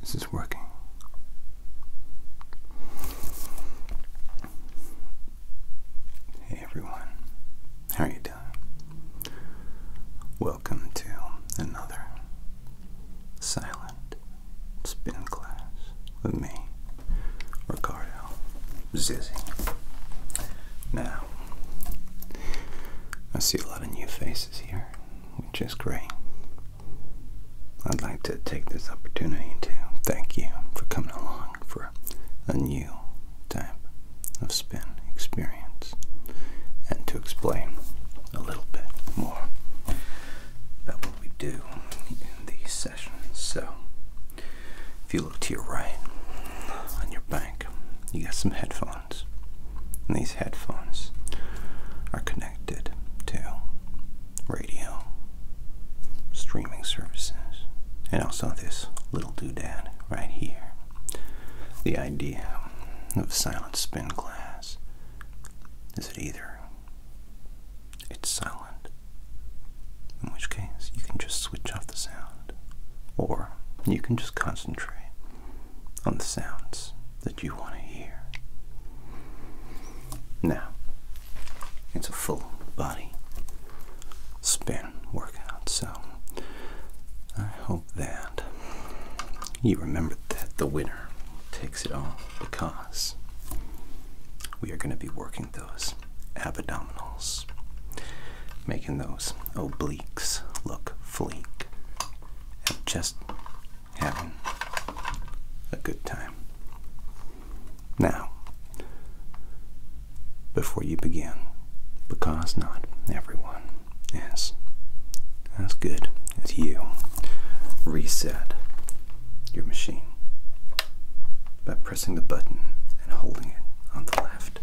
This is working. Hey everyone, how are you doing? Welcome to another silent spin class with me, Ricardo Zizi. Now, I see a lot of new faces here, which is great. I'd like to take this opportunity to thank you for coming along for a new type of spin experience and to explain a little bit more about what we do in these sessions. So, if you look to your right on your bank, you got some headphones. And these headphones are connected to radio, streaming services, and also this little doodad right here. The idea of silent spin class is it either it's silent, in which case you can just switch off the sound, or you can just concentrate on the sounds that you want to hear. Now, it's a full body spin workout, so I hope that you remember that the winner takes it all because we are going to be working those abdominals, making those obliques look fleek, and just having a good time. Now, before you begin, because not everyone is as good as you, reset your machine pressing the button and holding it on the left.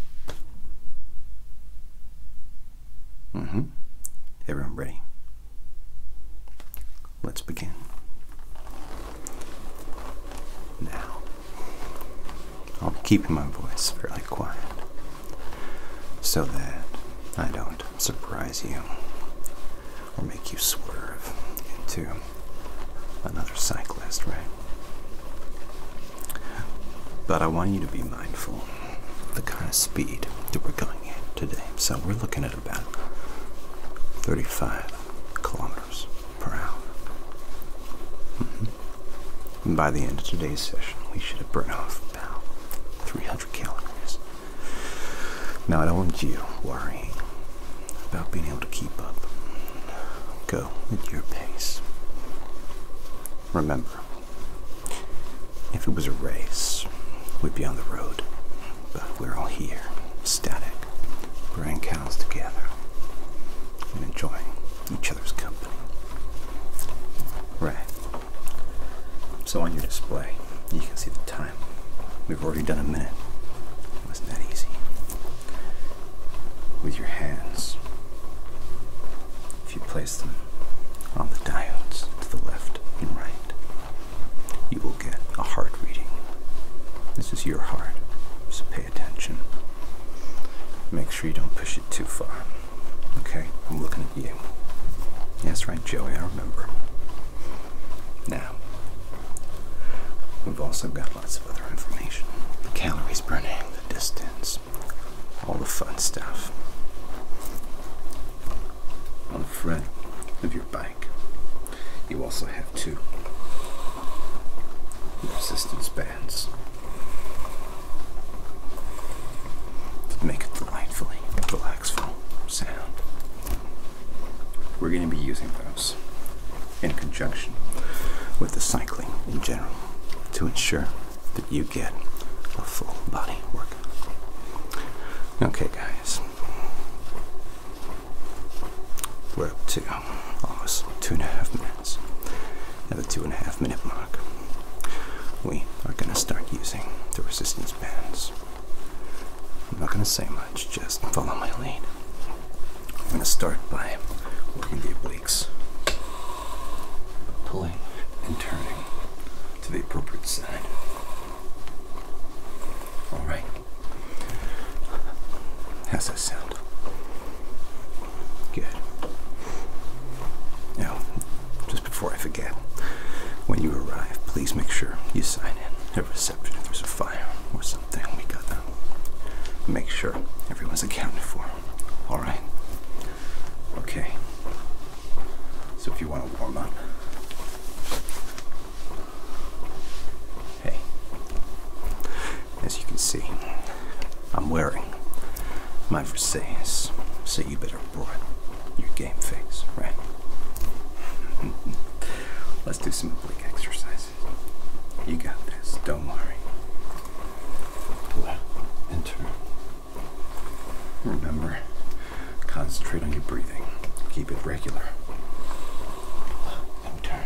hmm. Everyone ready? Let's begin. Now, I'll keep my voice fairly quiet so that I don't surprise you or make you swerve into another cyclist, right? But I want you to be mindful of the kind of speed that we're going at today. So we're looking at about 35 kilometers per hour. Mm-hmm. And by the end of today's session, we should have burned off about 300 calories. Now I don't want you worrying about being able to keep up. Go at your pace. Remember, if it was a race, we'd be on the road. But we're all here, static, brewing cows together, and enjoying each other's company. Right. So on your display, you can see the time. We've already done a minute was that easy. With your hands, if you place them on the diodes to the left and right, you will get a heart reading. This is your heart, so pay attention. Make sure you don't push it too far. Okay, I'm looking at you. That's right, Joey, I remember. Now, We've also got lots of other information the calories burning, the distance, all the fun stuff on the front of your bike. You also have two resistance bands to make a delightfully relaxing sound we're going to be using those in conjunction with the cycling in general to ensure that you get a full body workout. Okay, guys, we're up to almost two and a half minutes. At the two and a half minute mark, we are going to start using the resistance bands. I'm not going to say much, just follow my lead. I'm going to start by working the obliques, pulling and turning to the appropriate side. All right. How's that sound? Good. Now, just before I forget, when you arrive, please make sure you sign in at reception if there's a or something. We gotta make sure everyone's accounted for. All right. Okay. So if you want to warm up, hey, as you can see, I'm wearing my Versace, so you better broaden your game face, right? Let's do some oblique exercises. You got this, don't worry. Pull out and turn. Remember, concentrate on your breathing. Keep it regular. turn.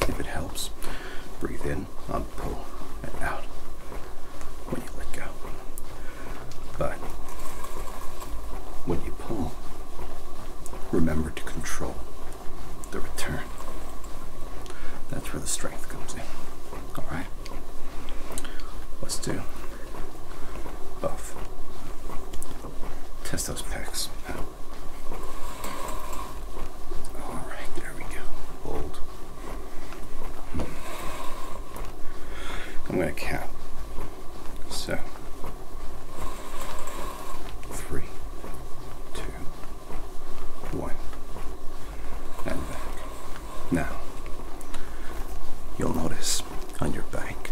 If it helps, breathe in, I'll pull, and out. When you let go. But when you pull, remember to control the return. That's where the strength comes in. Alright? Let's do both. Test those pecs Alright, there we go. Hold. Hmm. I'm going to count so, three, two, one, and back. Now, you'll notice on your back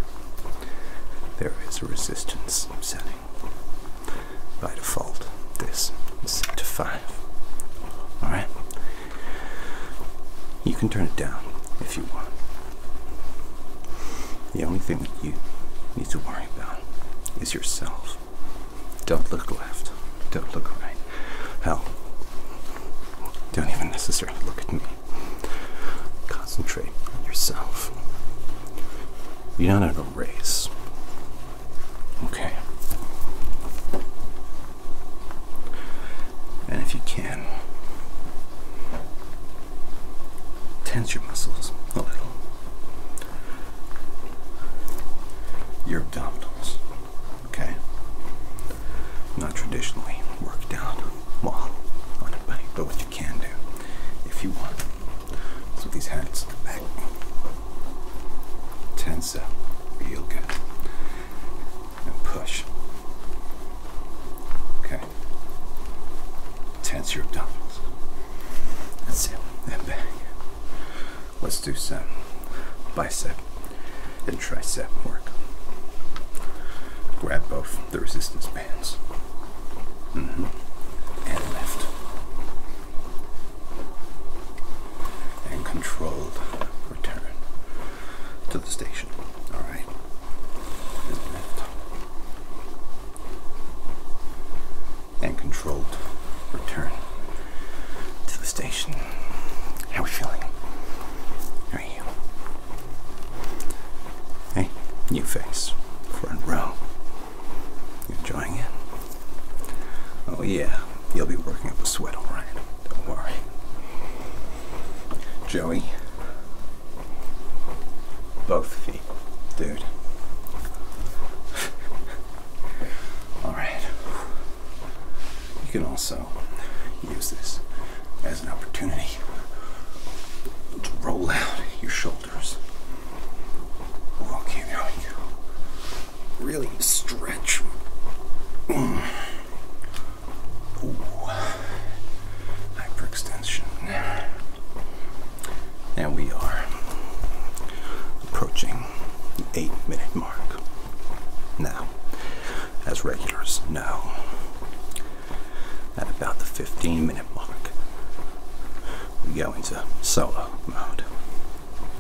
there is a resistance setting. By default, this is set to five. Alright? You can turn it down if you want. The only thing that you need to worry about is yourself. Don't look left. Don't look right. Hell, don't even necessarily look at me. Concentrate on yourself. You're not in a race. Okay. And if you can, tense your muscles a little. Your abdominals, okay? Not traditionally worked out well on a buddy, but what you can do if you want. So these hands back, tense up real good, and push. Okay. Tense your abdominals. That's it. And back. Let's do some bicep and tricep work. Grab both the resistance bands. Mm-hmm. And lift. And controlled return to the station. All right. And controlled return to the station. How are we feeling? How are you? Hey, new face. Front row. You enjoying it? Oh yeah, you'll be working up a sweat, alright. Don't worry. Joey. Both feet. Dude. Alright. You can also use this as an opportunity to roll out your shoulders. Okay, now you go. Really stretch. Mm. Hyperextension. Now we are approaching the eight minute mark. Now, as regulars know, at about the 15 minute mark, we go into solo mode.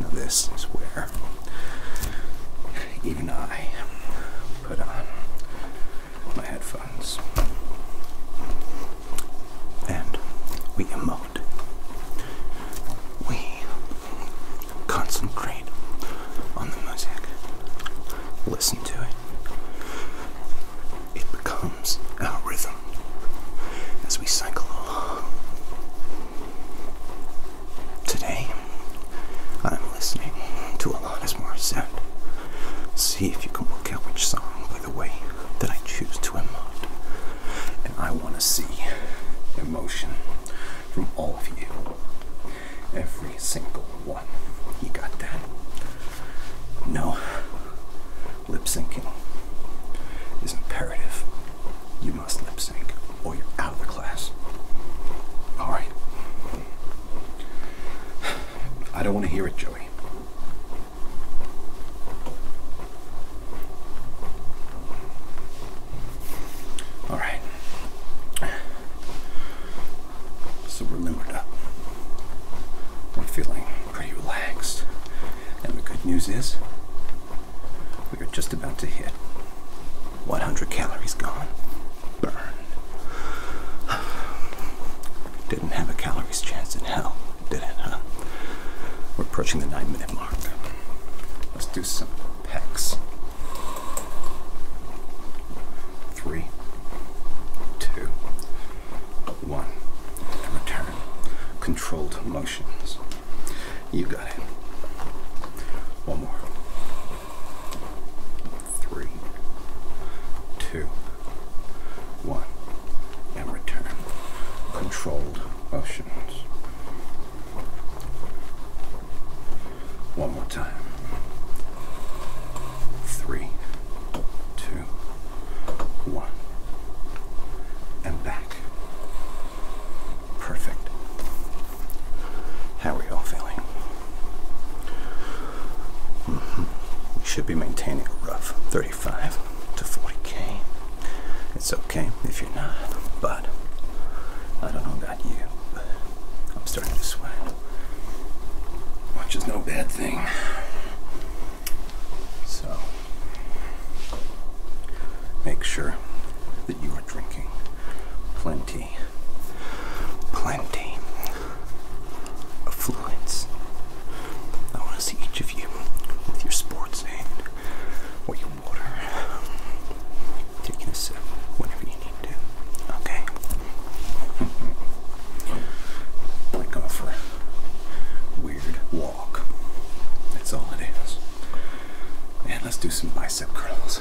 Now, this is where even I put on my headphones. And we emote. We concentrate on the music, listen to it. It becomes our rhythm as we cycle along. Today, I'm listening to a Alanis said, See if you can work out which song by the way that I choose to emote. And I want to see emotion from all of you. Every single one. You got that? No. Lip syncing is imperative. You must lip sync or you're out of the class. Alright. I don't want to hear it, Joey. All right. So we're limbered up. We're feeling pretty relaxed. And the good news is, we are just about to hit 100 calories gone. Burned. Didn't have a calories chance in hell, did it, huh? We're approaching the nine minute mark. Let's do some pecs. Three, two, one. Return. Controlled motions. You got it. One more three, two, one, and return. Controlled motions. One more time. Three, two, one, and back. Perfect. How are y'all feeling? Mm You should be maintaining a rough 35 to 40k. It's okay if you're not, but I don't know about you, I'm starting to sweat, which is no bad thing. So make sure that you are drinking plenty plenty of fluids. I want to see each of you with your sports and with your water, taking a sip whenever you need to. Okay. Like go for a weird walk. That's all it is. And let's do some bicep curls.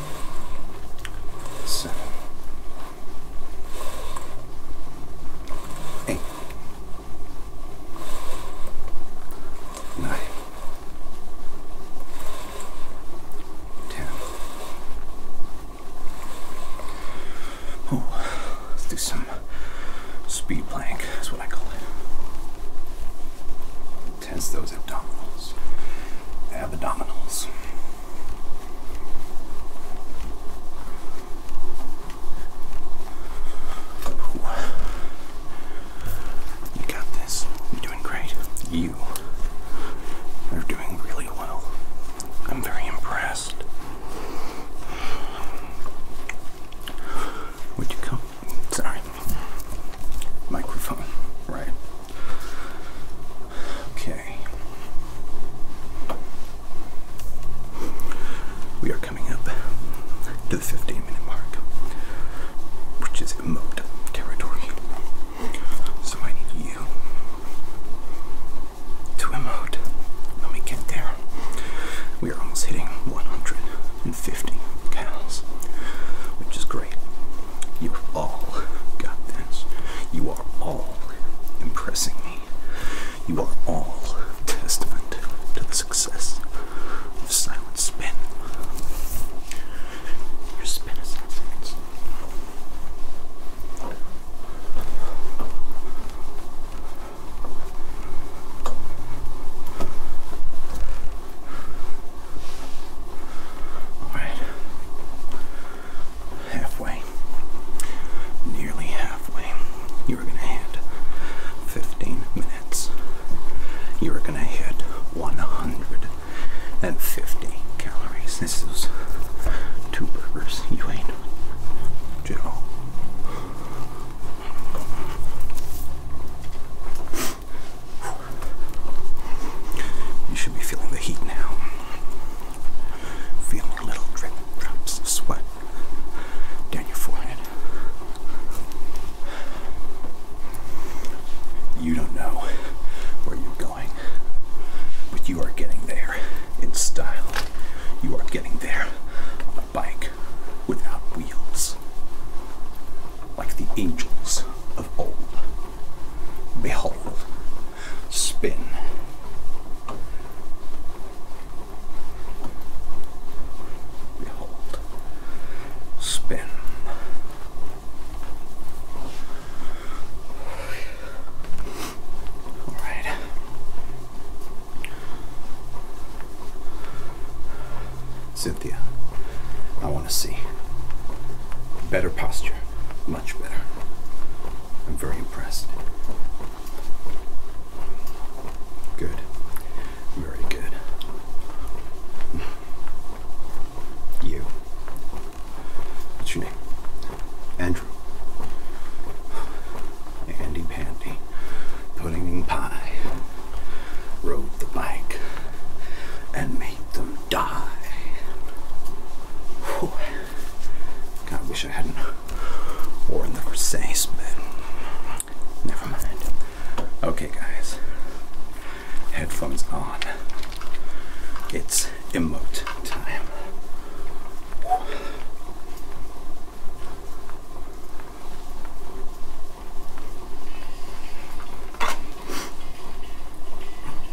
seven, eight, nine, ten. Oh, let's do some speed plank, that's what I call it. Tense those abdominals. Abdominals. You got this. You're doing great. You are doing really well. I'm very impressed. Would you come? Sorry. Microphone, right? Okay. We are coming up to the 15 minute mark, which is emote territory. So I need you to emote. Let me get there. We are almost hitting 150 cows, which is great you all got this. You are all impressing me. You are all testament to the success of Silent Spin. Your spin is Alright. Halfway. Nearly halfway. You're gonna hit 15 minutes. You're gonna hit 150 calories. This is two burgers you ate. Joe. You should be feeling the heat now. Feeling little drops of sweat down your forehead. You don't know where you're going, but you are getting there in style. You are getting there on a bike without wheels, like the angels of old. Behold, spin. Behold, spin. All right. Cynthia, I want to see better posture. Much better. I'm very impressed. Good. Very good. You. What's your name? Andrew. Andy Pandy. Pudding Pie. Rode the bike and made the die. God, I wish I hadn't worn the Versace, but never mind. Okay, guys. Headphones on. It's emote time.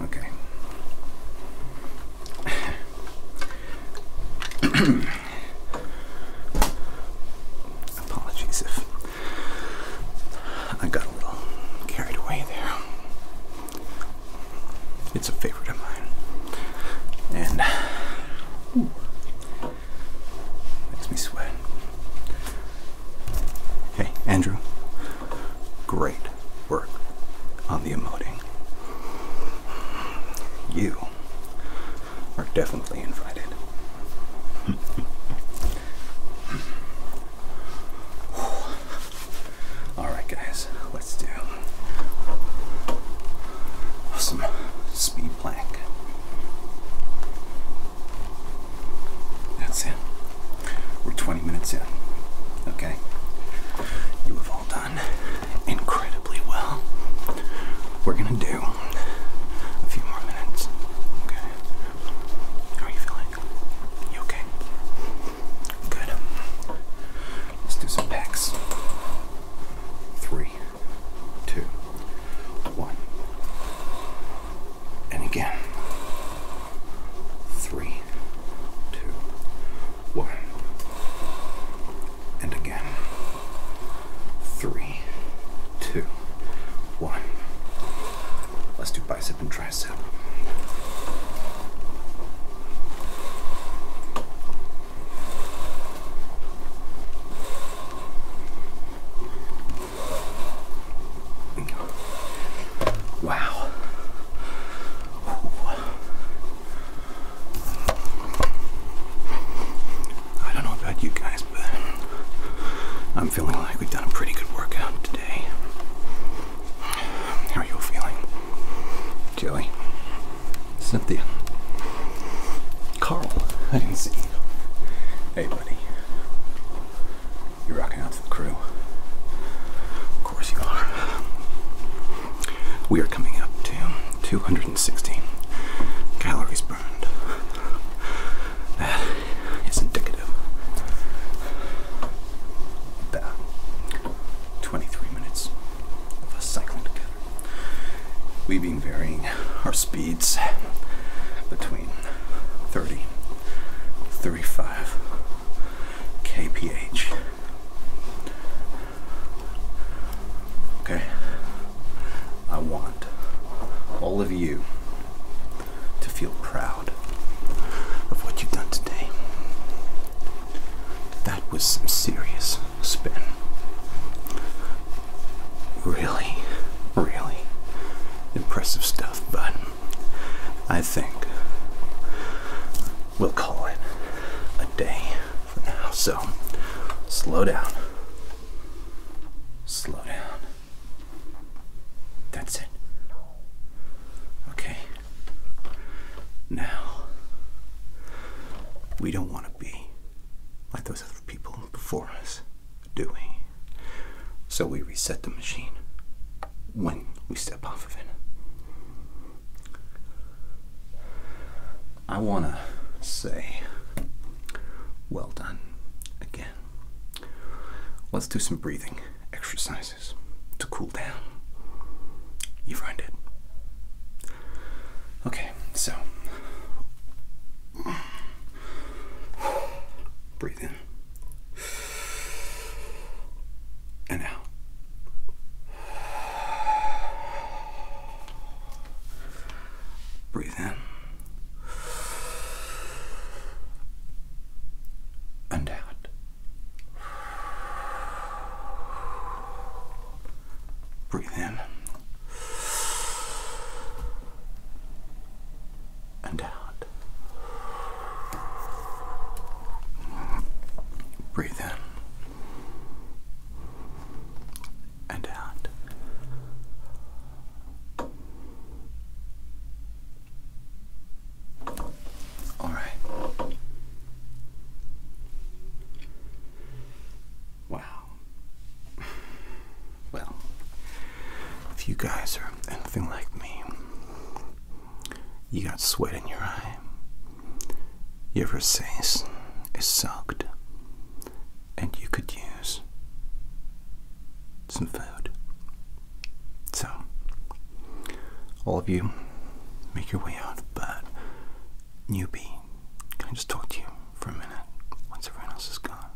Okay. Apologies if I got a little carried away there. It's a favorite of mine. And makes me sweat. Hey, Andrew. Great work on the emoting. You are definitely invited. Alright, guys, let's do some speed plank. That's it. We're 20 minutes in. Okay? You have all done incredibly well. We're gonna do a few more minutes. Okay? How are you feeling? You okay? Good. Let's do some pecs. Three, two, one. And again three, two, one, and again, three, two, one. Let's do bicep and tricep. Wow. I don't know about you guys, but I'm feeling like we've done a pretty good workout today. How are you feeling? Joey? Cynthia? Carl? I didn't see you. Hey, buddy. You're rocking out to the crew. Of course you are. We are coming up to 216 calories burned. That is indicative. About 23 minutes of us cycling together. We've been varying our speeds between between 35 kph. Okay, I want all of you to feel proud of what you've done today. That was some serious spin. Really, really impressive stuff, but. I think we'll call it a day for now. So slow down. Slow down. That's it. Okay. Now, we don't want to be like those other people before us do we? So we reset the machine when we step off of it. I want to say, well done again. Let's do some breathing exercises to cool down. You've it. Okay, so breathe in and out. Breathe in and out. Breathe in and out. Breathe in and out. All right. Wow. Well, if you guys are anything like me, you got sweat in your eye. Your face is soaked, and you could use some food. So, all of you, make your way out. But newbie, can I just talk to you for a minute once everyone else is gone?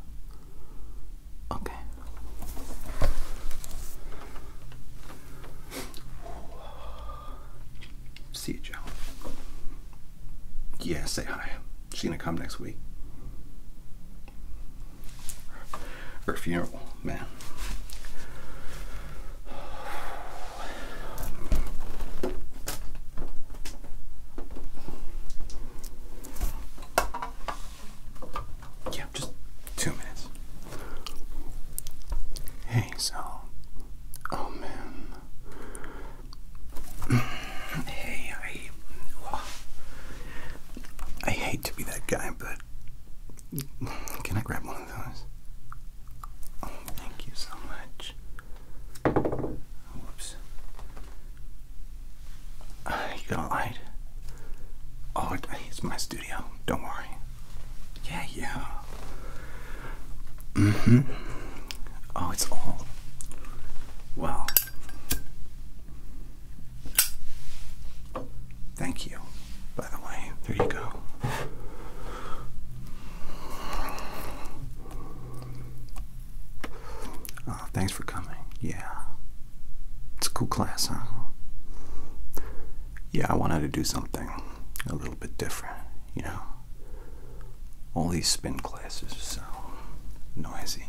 Okay. See you, Joe. Yeah, say hi. She's gonna come next week. Her funeral, man. Yeah, just two minutes. Hey, so. Oh man. hey, I. I hate to be that guy, but. Can I grab one of those? Oh, thank you so much. Whoops. You got light. Oh, it's my studio. Don't worry. Yeah, yeah. Mm hmm. Oh, it's all. Well. Thank you, by the way. There you go. Oh, thanks for coming. Yeah. It's a cool class, huh? Yeah, I wanted to do something a little bit different, you know? All these spin classes are so noisy.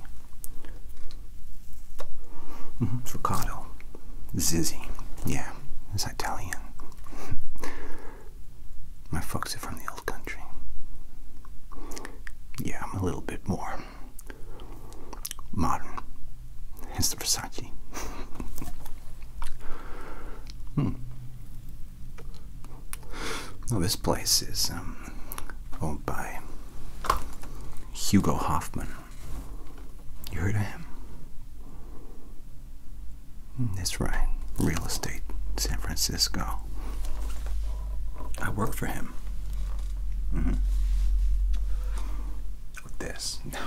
Mm-hmm, it's -hmm. Friccato. Zizzy. Yeah, it's Italian. My folks are from the old country. Yeah, I'm a little bit more modern. Hence the Versace. hmm. Well, this place is um, owned by Hugo Hoffman. You heard of him? Hmm, that's right. Real estate, San Francisco. I work for him. Mm-hmm. With this, no.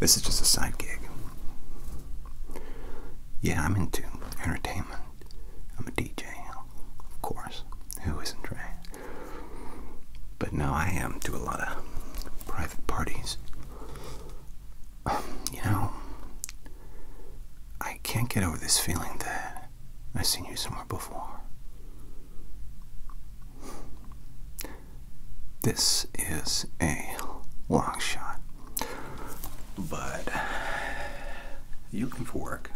This is just a side gig. Yeah, I'm into entertainment. I'm a DJ, of course. Who isn't, right? But now I am to a lot of private parties. Um, you know, I can't get over this feeling that I've seen you somewhere before. This is a long shot, but you can work?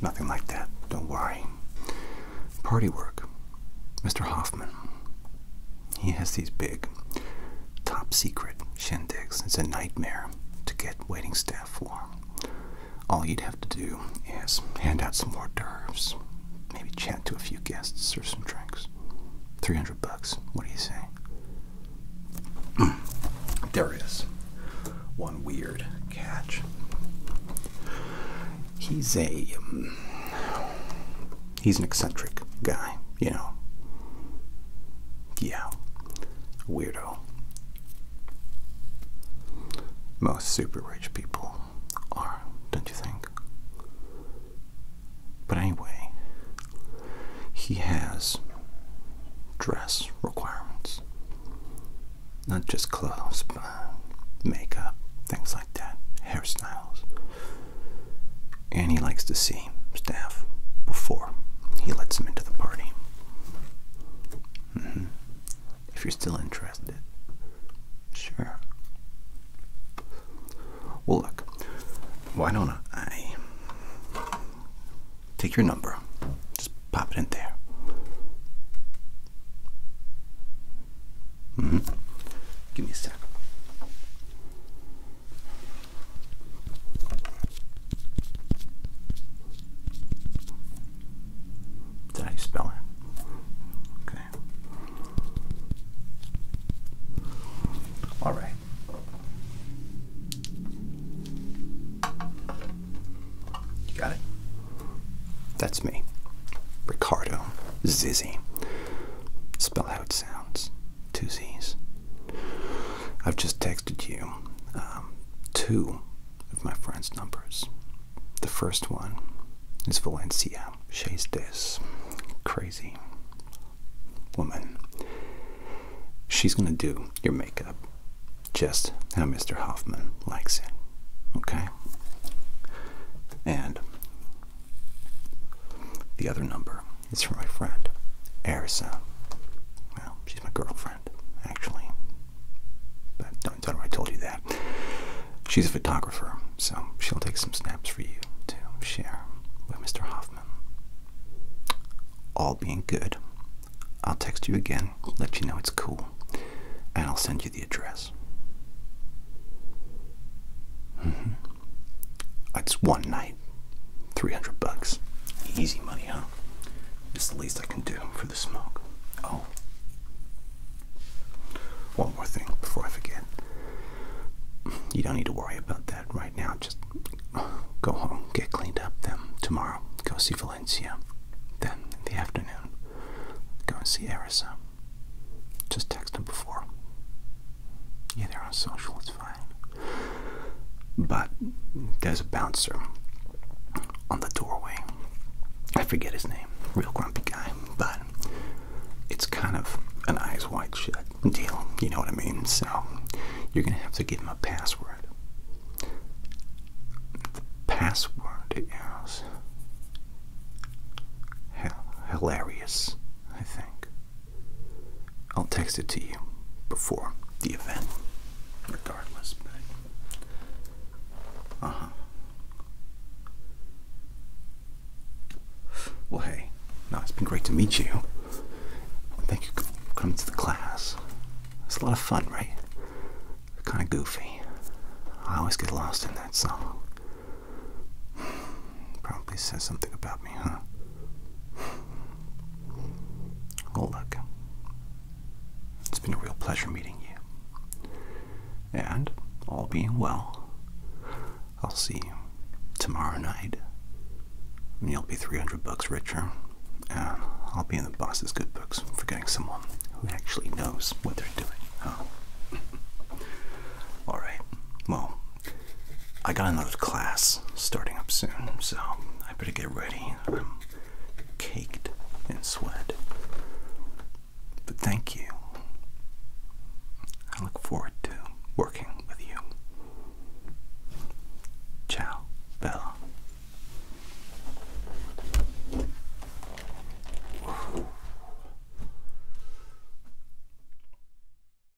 Nothing like that, don't worry. Party work. Mr. Hoffman. He has these big, top secret shindigs. It's a nightmare to get waiting staff for. All you'd have to do is hand out some hors d'oeuvres, maybe chat to a few guests, serve some drinks. 300 bucks. What do you say? there is one weird catch. He's a um, he's an eccentric guy, you know. Yeah, weirdo. Most super rich people are, don't you think? But anyway, he has dress requirements. Not just clothes, but makeup, things like that, hairstyles and he likes to see staff before he lets them into the party. Mm-hmm. If you're still interested, sure. Well, look, why don't I take your number? Just pop it in there. Mm-hmm. Give me a sec. Did I spell it? Okay. All right. You got it? That's me, Ricardo Zizzy. Spell how it sounds two Z's. I've just texted you um, two of my friend's numbers. The first one is Valencia. She's this crazy woman. She's going to do your makeup just how Mr. Hoffman likes it. Okay? And the other number it's from my friend, Arisa. Well, she's my girlfriend, actually. But don't tell her I told you that. She's a photographer, so she'll take some snaps for you to share with Mr. Hoffman. All being good, I'll text you again, let you know it's cool, and I'll send you the address. Mm-hmm. It's one night. 300 bucks. Easy money, huh? It's the least I can do for the smoke. Oh. One more thing before I forget. You don't need to worry about that right now. Just go home, get cleaned up, then tomorrow go see Valencia. Then in the afternoon, go and see Arisa. Just text him before. Yeah, they're on social. But there's a bouncer on the doorway. I forget his name, real grumpy guy, but it's kind of an eyes wide shut deal, you know what I mean? So you're gonna have to give him a password. The password is hilarious, I think. I'll text it to you before the event, regardless. Uh huh. Well, hey, no, it's been great to meet you. Thank you for coming to the class. It's a lot of fun, right? Kind of goofy. I always get lost in that song. Probably says something about me, huh? Well, look, it's been a real pleasure meeting you. And, all being well, I'll see you tomorrow night. And you'll be 300 bucks richer. And I'll be in the boss's good books for getting someone who actually knows what they're doing. Huh? Alright, well, I got another class starting up soon, so I better get ready. I'm caked in sweat. But thank you. I look forward to working with you. Ciao, Bella.